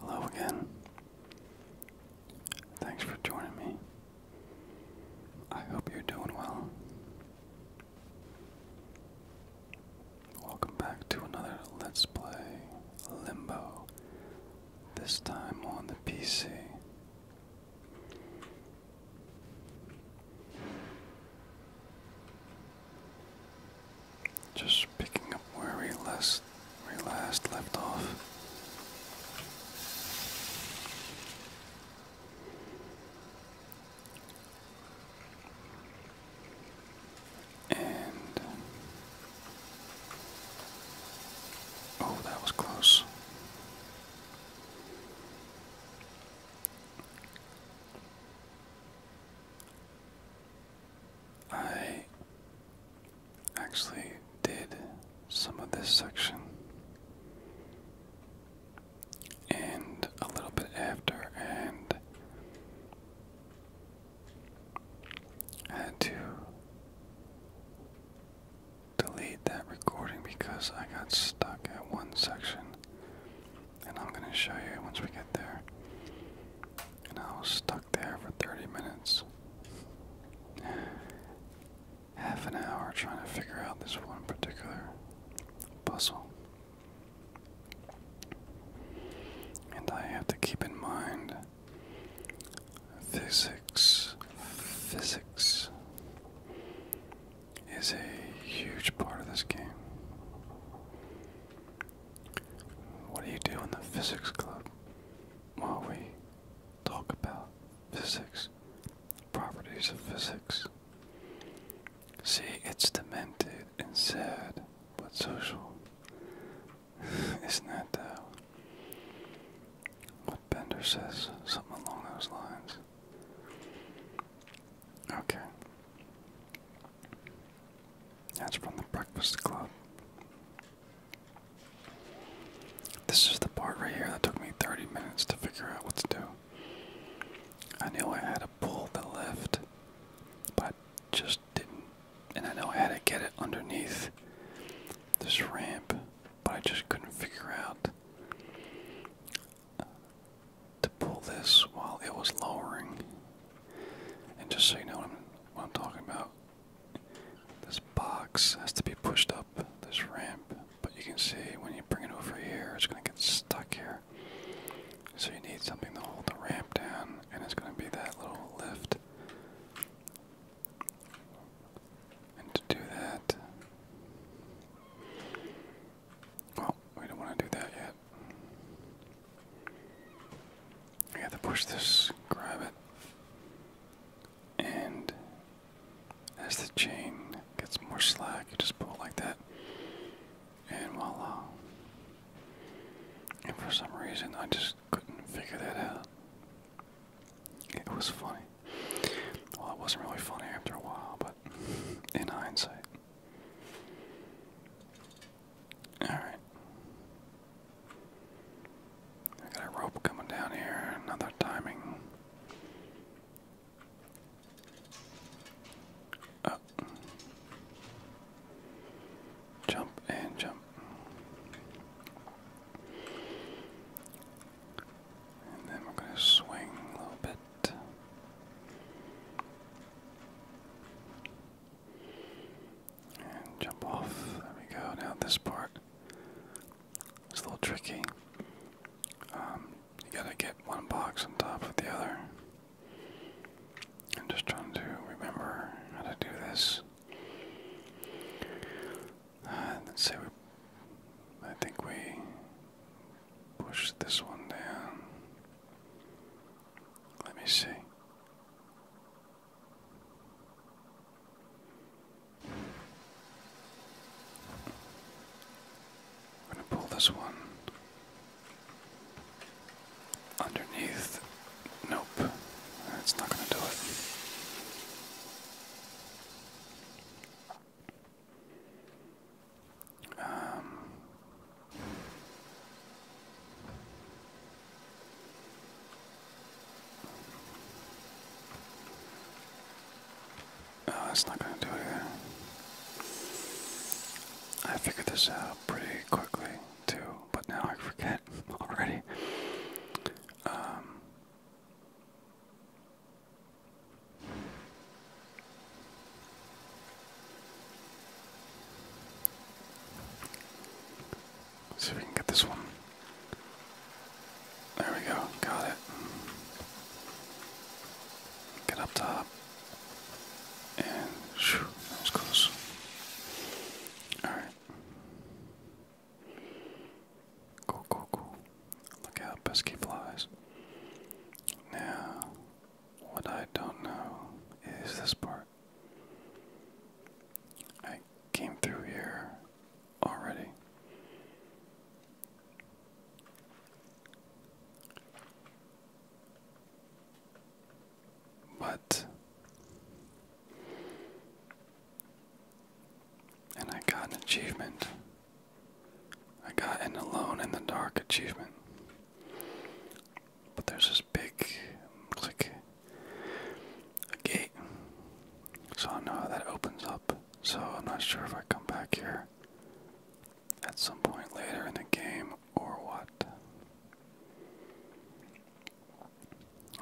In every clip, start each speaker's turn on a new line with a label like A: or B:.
A: Hello again. Thanks for joining me. I hope you're doing well. Welcome back to another Let's Play Limbo, this time on the PC. Just picking up where we last, we last left off. And oh, that was close. I actually did some of this section and a little bit after and I had to delete that recording because I got stuck at one section and I'm going to show you once we get there and I was stuck there for 30 minutes. Half an hour trying to figure out this one particular puzzle. And I have to keep in mind physics. Physics is a huge part of this game. What do you do in the physics club? While we talk about physics, properties of physics. See, it's demented and sad, but social. Isn't that uh, what Bender says? Something along those lines. Okay. That's from the Breakfast Club. This is the part right here that took me 30 minutes to figure out what to do. I knew I had to pull the lift, but just didn't. And I know I had to get it underneath this ramp, but I just couldn't figure out uh, to pull this while it was lowering. And just so you know what I'm talking about, this box has to be pushed up this ramp, but you can see when you bring it over here, it's going to get stuck here. So you need something to hold the ramp down, and it's going to be that little lift. And to do that, well, we don't want to do that yet. I have to push this, grab it, and as the chain gets more slack, you just pull like that, and voila. And for some reason, I just couldn't figure that out. It was funny. Well, it wasn't really funny after a while, but in hindsight. All right. I got a rope coming down here. Another timing. Up. Oh. Jump and jump. And then we're going to swing a little bit. And jump off. There we go. Now this part is a little tricky. Um, you gotta get one box on top of the other. I'm just trying to remember how to do this. Uh, let's say we. I think we push this one down. Let me see. I'm going to pull this one underneath. Nope, that's not going to do it. Um, no, oh, that's not going to do it I figured this out pretty quickly, too, but now I forget already. Um, Let's see if we can get this one. There we go. Got it. Get up top. And that was close. Alright. Cool, cool, cool. Look out, pesky flies. Now, what I don't know is this part. I came through here already. But and I got an achievement. I got an alone in the dark achievement. But there's this big, like gate. So I don't know how that opens up. So I'm not sure if I come back here at some point later in the game or what.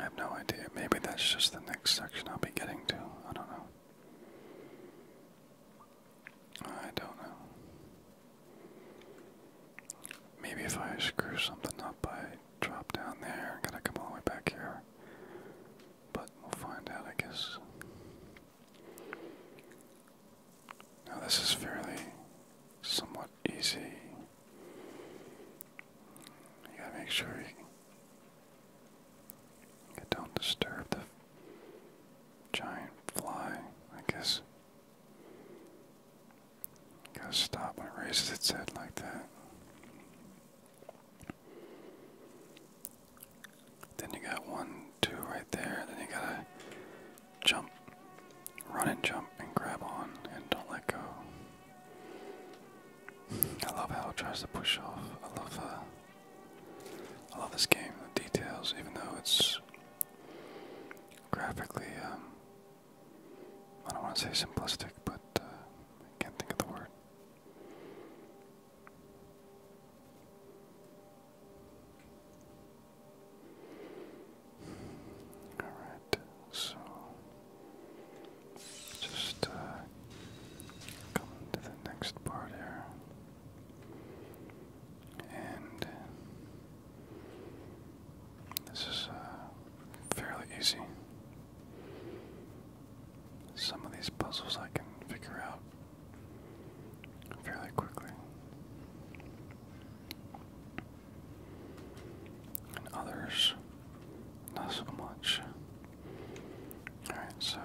A: I have no idea. Maybe that's just the next section I'll be getting to. I don't know. I don't know. Maybe if I screw something up, I drop down there and gotta come all the way back here. But we'll find out, I guess. Now, this is fairly somewhat easy. You gotta make sure you don't disturb the giant fly, I guess. Gotta stop when it raises its head like that. Then you got one, two right there, then you gotta jump, run and jump and grab on and don't let go. I love how it tries to push off. I love the, uh, I love this game, the details, even though it's graphically um, I don't want to say simplistic, but uh, I can't think of the word. All right, so just uh, come to the next part here, and this is uh, fairly easy. Some of these puzzles I can figure out fairly quickly. And others, not so much. Alright, so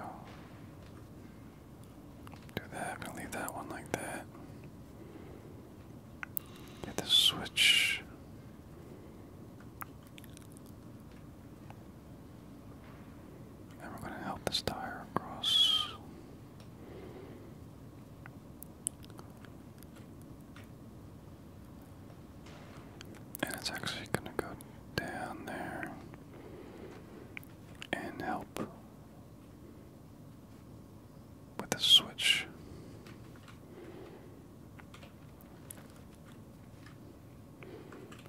A: do that. i leave that one like that. Get the switch. And we're going to help this tire across. And it's actually going to go down there and help with the switch.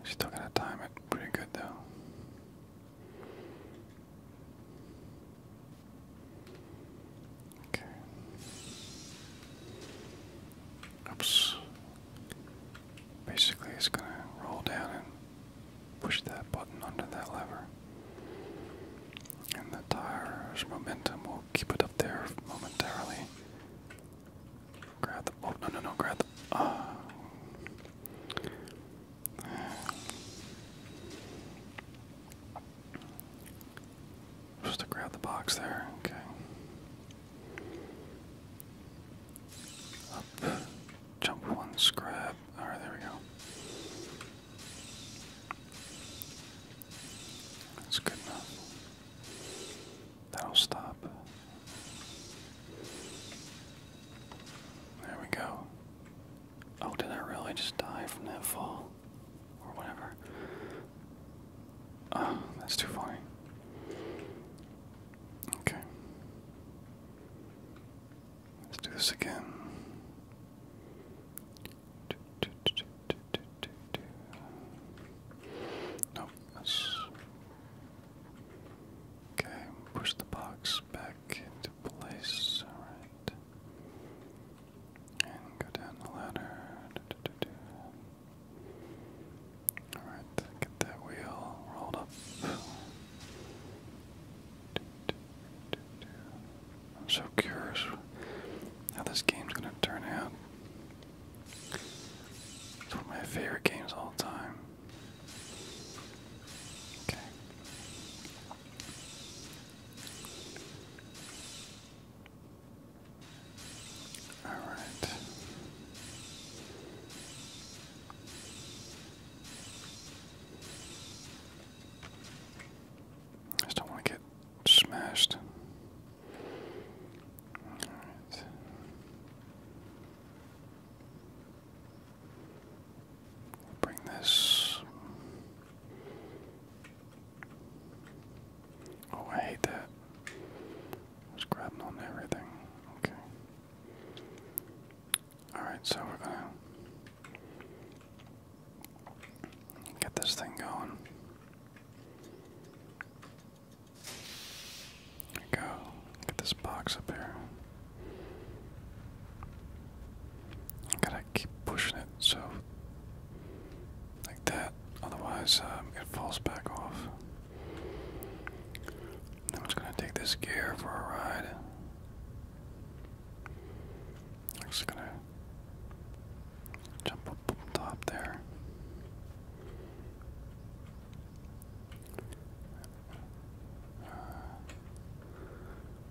A: Still gotta time it pretty good though. Okay. Oops. Basically, it's gonna roll down and push that button under that lever. And the tire's momentum will keep it up there momentarily. Grab the. Oh, no, no, no, grab the. Uh, just to grab the box there, okay. Up, jump once, grab. Alright, there we go. That's good enough. That'll stop. There we go. Oh, did I really just die from that fall? Or whatever. Oh, that's too funny. Okay. Let's do this again. Nope, okay. Push the box back into place. All right, and go down the ladder. All right, get that wheel rolled up. I'm so curious how this game's gonna turn out. It's one of my favorite games all time. Okay. All right. I just don't want to get smashed. Bring this. Oh, I hate that. I grabbing on everything. Okay. Alright, so we're gonna Get this thing going. There we go. Get this box up here. gotta keep pushing it so like that, otherwise um, it falls back off. I'm just gonna take this gear for a ride. I'm just gonna jump up on top there. Uh,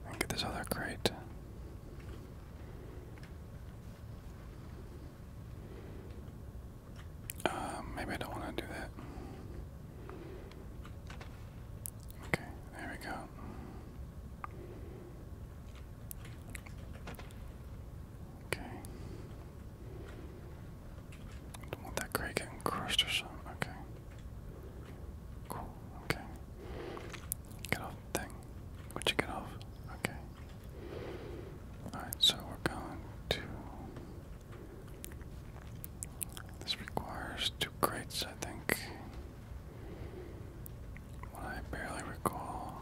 A: and get this other crate. Um, maybe I don't want to do that. Okay, there we go. Okay. Don't want that gray getting crushed or something. Okay. Cool. Okay. Get off the thing. Would you get off? Okay. Alright, so we're going to. This requires two crates, I think. I barely recall.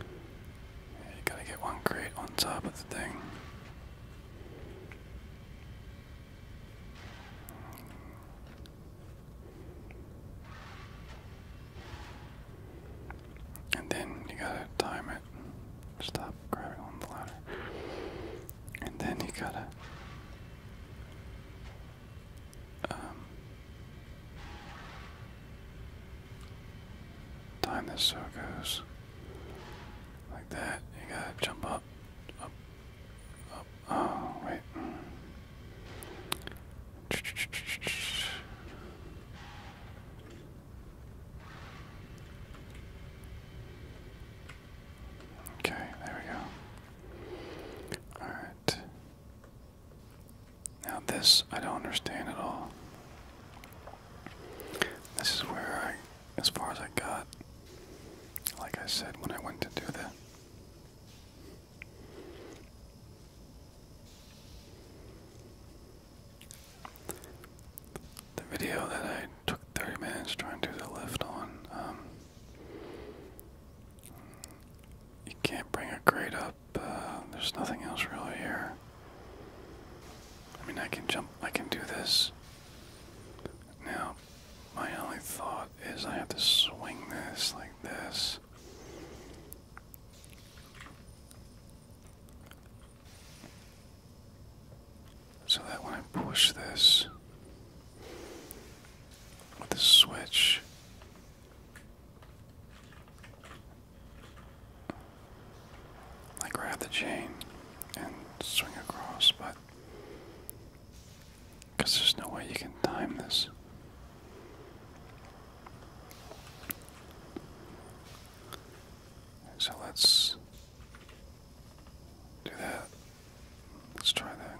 A: you gotta get one crate on top of the thing. And then you gotta time it. Stop grabbing on the ladder. And then you gotta um, time this so goes like that. You gotta jump up, up, up. Oh wait. Okay, there we go. All right. Now, this I don't understand at all. This is where I, as far as I got, like I said when I went to do that. The video that I took 30 minutes trying to do the lift on, um, you can't bring a grade up. Uh, there's nothing else really here. I mean, I can jump. I can do this. Now, my only thought is I have to swing this like this. So that when I push this, with the switch. I grab the chain and swing across, but because there's no way you can time this. So let's do that Let's try that.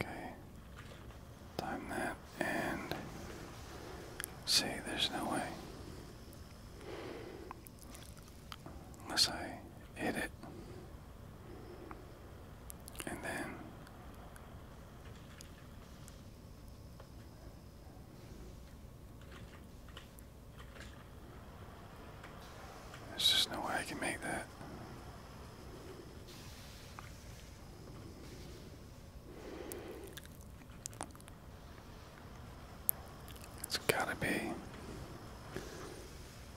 A: Okay. Time that and see there's no way. Unless I hit it. And then there's just no way I can make that. It's gotta be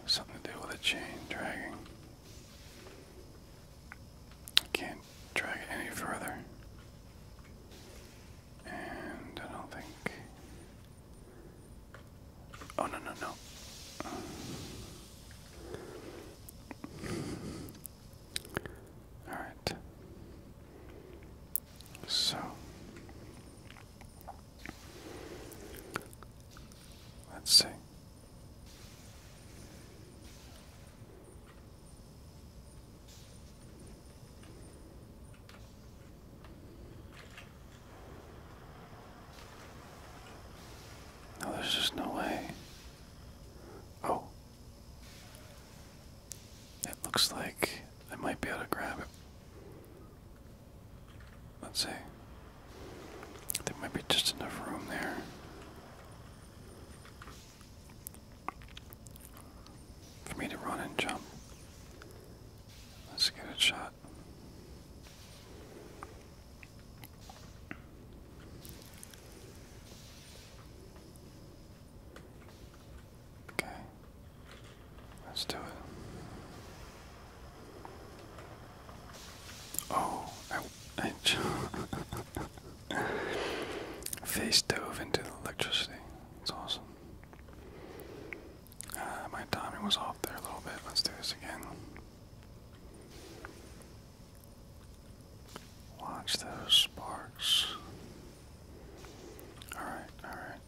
A: something to do with a chain dragging. Can't drag it any further. And I don't think. Oh, no, no, no. Alright. So. Let's see. No, there's just no way. Oh. It looks like I might be able to grab it. Let's see. There might be just enough room there for me to run and jump. Let's get a shot. Okay, let's do it. Oh, I, I Face dove into the electricity. It's awesome. Uh, my timing was off there a little bit. Let's do this again. Watch those sparks. Alright, alright,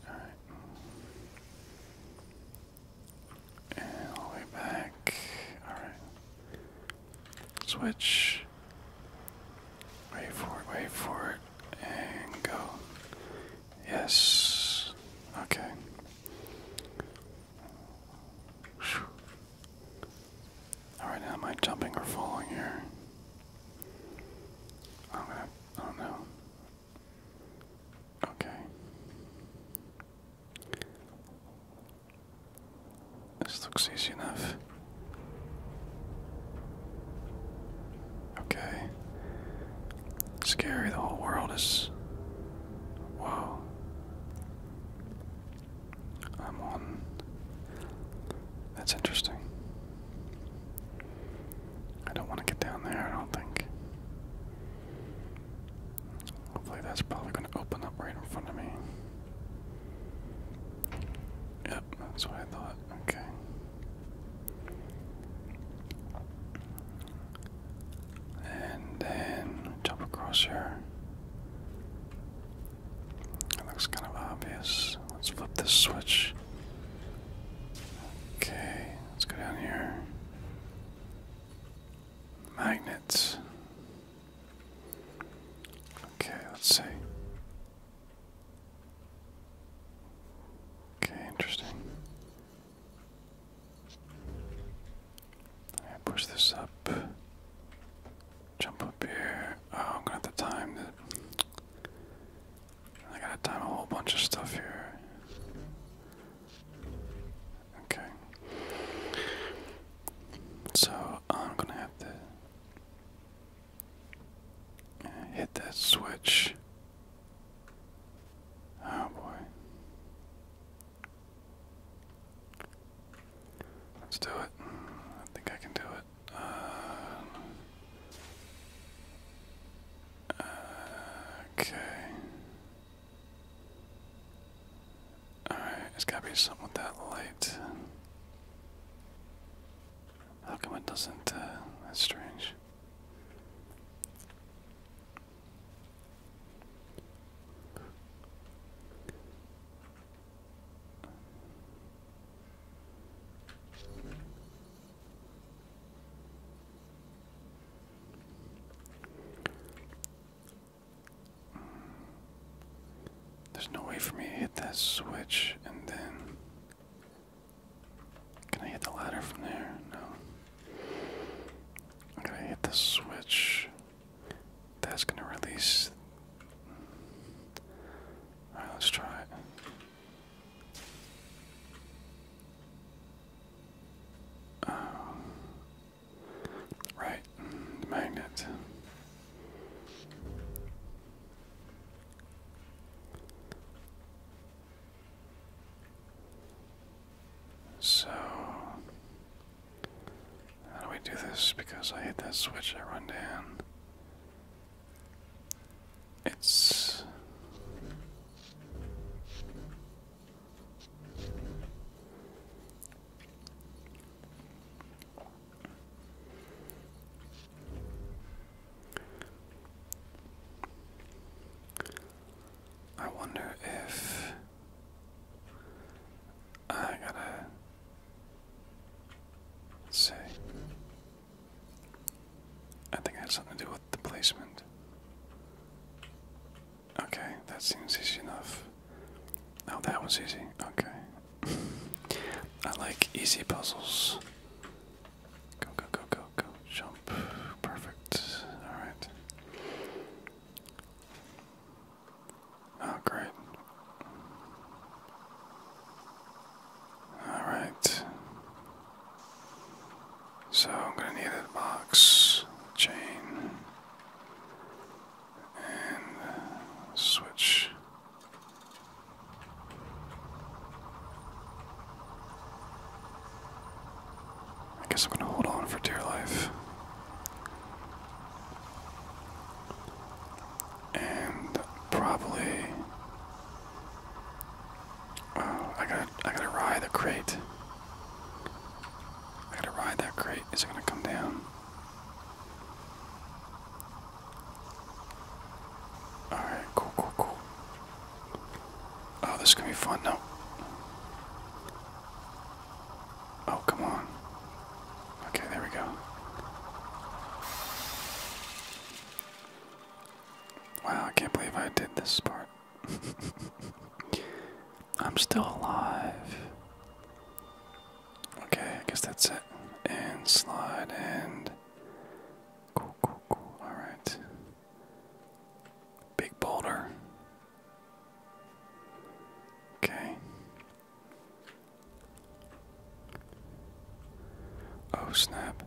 A: alright. all the way back. Alright. Switch. Wait for it, wait for it, and go. Yes. Okay. Alright, now am I jumping or falling here? I'm gonna, I i do not know. Okay. This looks easy enough. Okay. Scary, the whole world is. Whoa. I'm on. That's interesting. I don't want to get down there, I don't think. Hopefully, that's probably going to open up right in front of me. Yep, that's what I thought. Okay. And then jump across here. That looks kind of obvious. Let's flip this switch. Okay, let's go down here. Magnets. Okay, let's see. Okay, interesting. I push this up. Jump up here. Oh, I'm gonna have to time I gotta a whole bunch of stuff here. Okay. So I'm gonna have to Hit that switch. Oh boy. Let's do it. I think I can do it. Uh, okay. Alright, it's gotta be something with that light. How come it doesn't, uh, that's strange. There's no way for me to hit that switch and then. Can I hit the ladder from there? No. i hit the switch. That's gonna release. Alright, let's try it. Um, right, the magnet. So, how do we do this? Because I hit that switch, I run down. It's. I wonder if I gotta let I think it has something to do with the placement. Okay, that seems easy enough. Oh, that was easy. Okay. I like easy puzzles. Go, go, go, go, go. Jump. Perfect. Alright. Oh, great. Alright. So I'm going to need a box, chain, and switch. I guess I'm going to hold on for dear life. And probably oh, I gotta I gotta ride the crate. I gotta ride that crate. Is it gonna come down? Alright, cool, cool, cool. Oh, this is gonna be fun now. Oh, come on. Okay, there we go. Wow, I can't believe I did this part. I'm still alive. Okay, I guess that's it. And slide and. Cool, cool, cool. Alright. Big boulder. Okay. Oh, snap.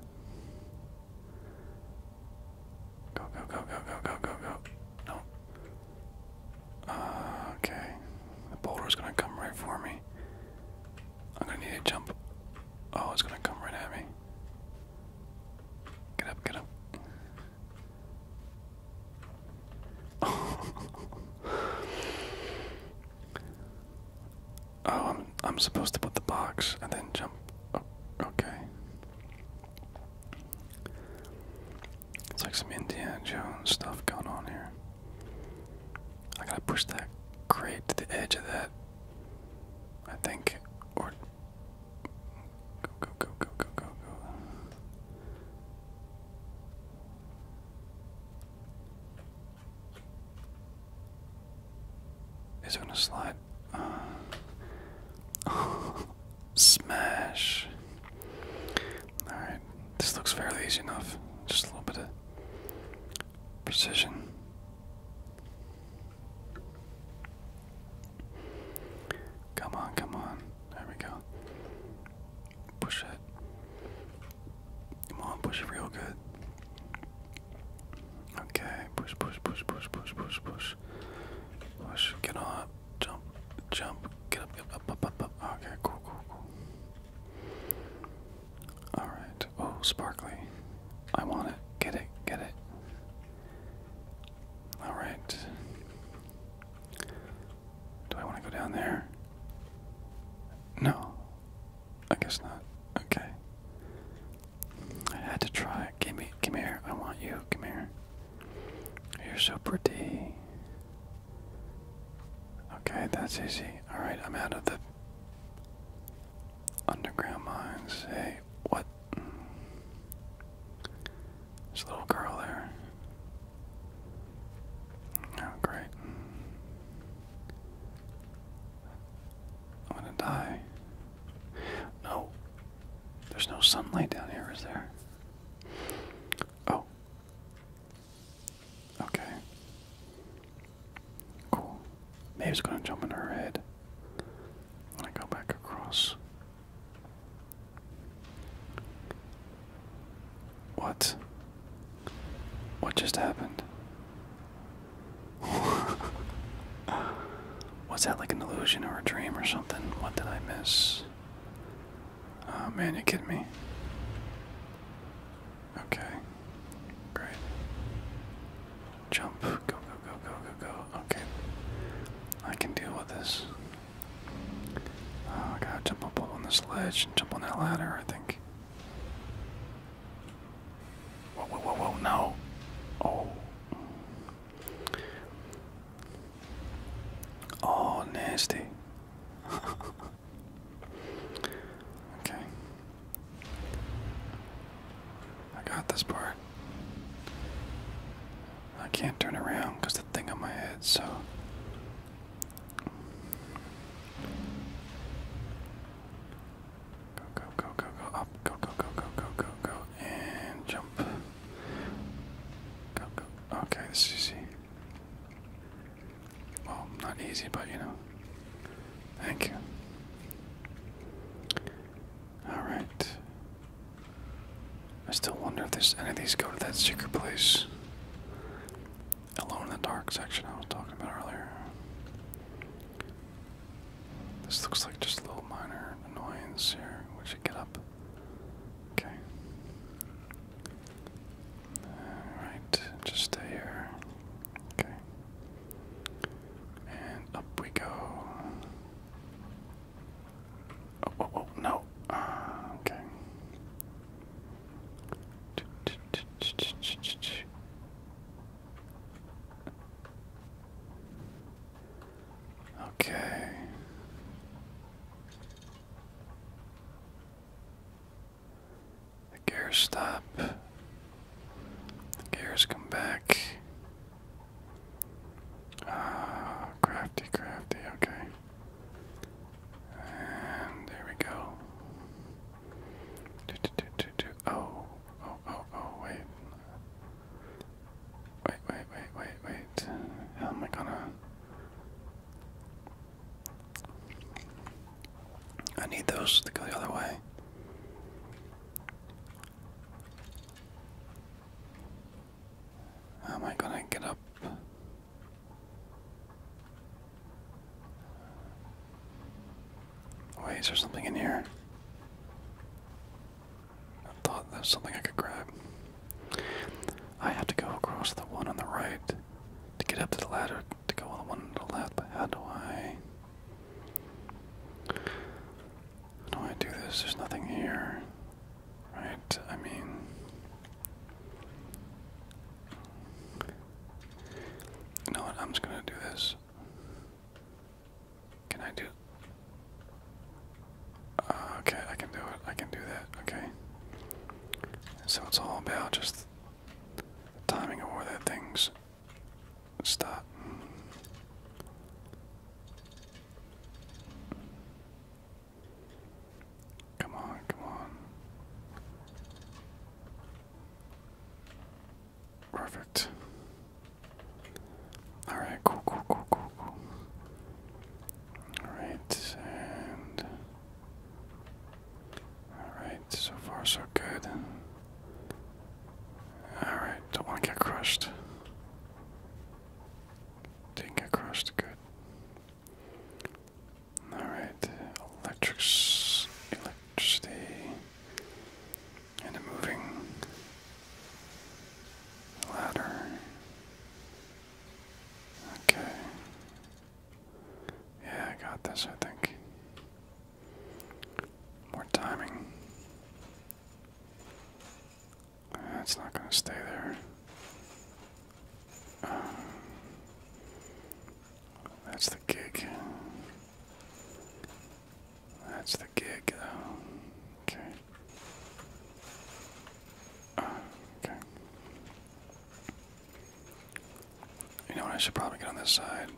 A: Go, go, go, go, go, go, go, go. No. Uh, okay. The boulder's gonna come right for me. I'm gonna need to jump. Oh, it's gonna come right at me. Get up, get up. oh, I'm, I'm supposed to put the box and then jump. Oh, okay. It's like some Indiana Jones stuff going on here. I gotta push that crate to the edge of that. I think. Or. Go, go, go, go, go, go, go. Is it gonna slide? Uh, Smash. Alright, this looks fairly easy enough. Just a little bit of precision. Come on, come on. There we go. Push it. Come on, push it real good. Okay, push, push, push, push, push, push, push. Push, get up, jump, jump, get up, get up, up, up, up. Okay, cool, cool, cool. Alright. Oh, sparkly. I want it. Get it. Get it. Alright. Do I want to go down there? No. I guess not. Okay. I had to try. Give me, come here. I want you. Come here. You're so pretty. Okay, that's easy. Alright, I'm out of the underground mines. Hey, what? There's a little girl there. Oh, great. I'm gonna die. No. There's no sunlight down here, is there? Oh. Okay. Cool. Maybe it's gonna jump in her head when I go back across. What? What just happened? Was that like an illusion or a dream or something? What did I miss? Oh man, you kidding me? Okay. Great. Jump. Go, go, go, go, go, go. Okay. I can deal with this. Oh, I jump up on this ledge and jump on that ladder, I think. Whoa, whoa, whoa, whoa, no! Oh. Oh, nasty. Okay. I got this part. I can't turn around because the thing on my head, so. Go, go, go, go, go, up, go, go, go, go, go, go, go, and jump. Go, go. Okay, this is easy. Well, not easy, but you know. Thank you. Alright. I still wonder if there's any of these go to that secret place. Alone in the dark section I was talking about earlier. This looks like just a little minor annoyance here. We should get up. Okay. Alright, just stay here. Okay. And up we go. Oh, oh, oh no. Ah, okay. Okay. The gears stop. The gears come back. Ah, crafty, crafty, okay. And there we go. Do, do, do, do, do. Oh, oh, oh, oh, wait. Wait, wait, wait, wait, wait. How am I gonna. I need those to go the other way. How am I gonna get up? Wait, is there something in here? I thought there's something I could grab. I have to go across the one on the right to get up to the ladder to go on the one on the left, but how do I how do I do this? There's nothing here. Right? I mean You know what? I'm just gonna do this. Can I do uh, okay, I can do it. I can do that. Okay. So it's all about just the timing of where that thing's stopped. Come on, come on. Perfect. Alright, cool, cool, cool, cool, cool. Alright, Alright, so far so good. Alright, don't want to get crushed. Didn't get crushed, good. Alright, electricity. And a moving ladder. Okay. Yeah, I got this, I think. More timing. That's not going to stay there. Um, that's the gig. That's the gig, though. Okay. Uh, okay. You know what? I should probably get on this side.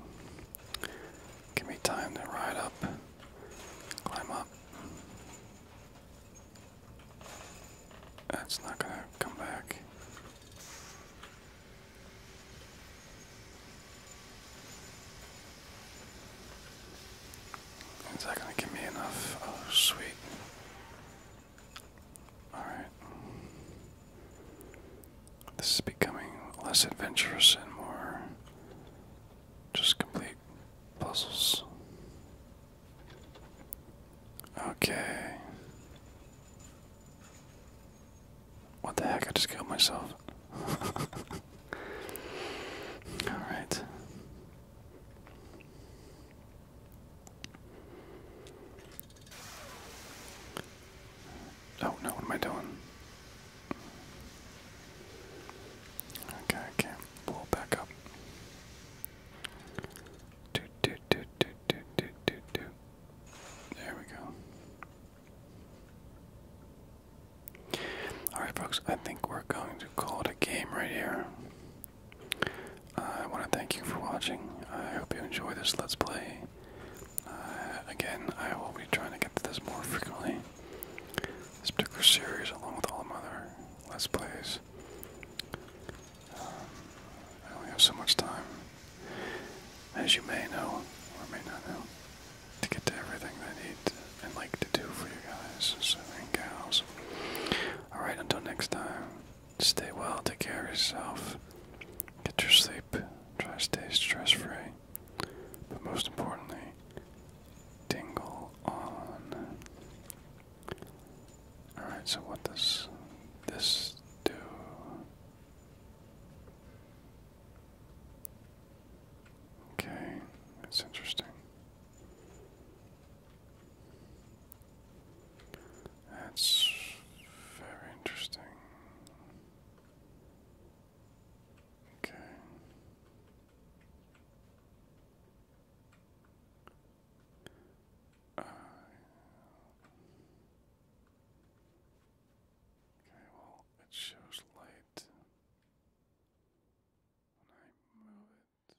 A: Give me time to ride up, climb up. That's not gonna come back. Is that gonna give me enough? Oh, sweet. Alright. This is becoming less adventurous and more just complete puzzles. Okay. What the heck? I just killed myself. Alright. Oh no, what am I doing? Okay, I can pull back up. Do, do, do, do, do, do, do, do. There we go. Alright, folks, I think we're going to call it a game right here. I want to thank you for watching. I hope you enjoy this Let's Play. Uh, again, I will be trying to get to this more frequently. This particular series, along with all other Let's Plays. Um, I only have so much time, as you may know, or may not know, to get to everything I need and like to do for you guys and gals. Alright, until next time. Stay well, take care of yourself. Get your sleep. Try to stay stress free. But most importantly, Dingle on. Alright, so what does this do? Okay, that's interesting. That's very interesting. Okay. Uh, okay, well, it shows light when I move it.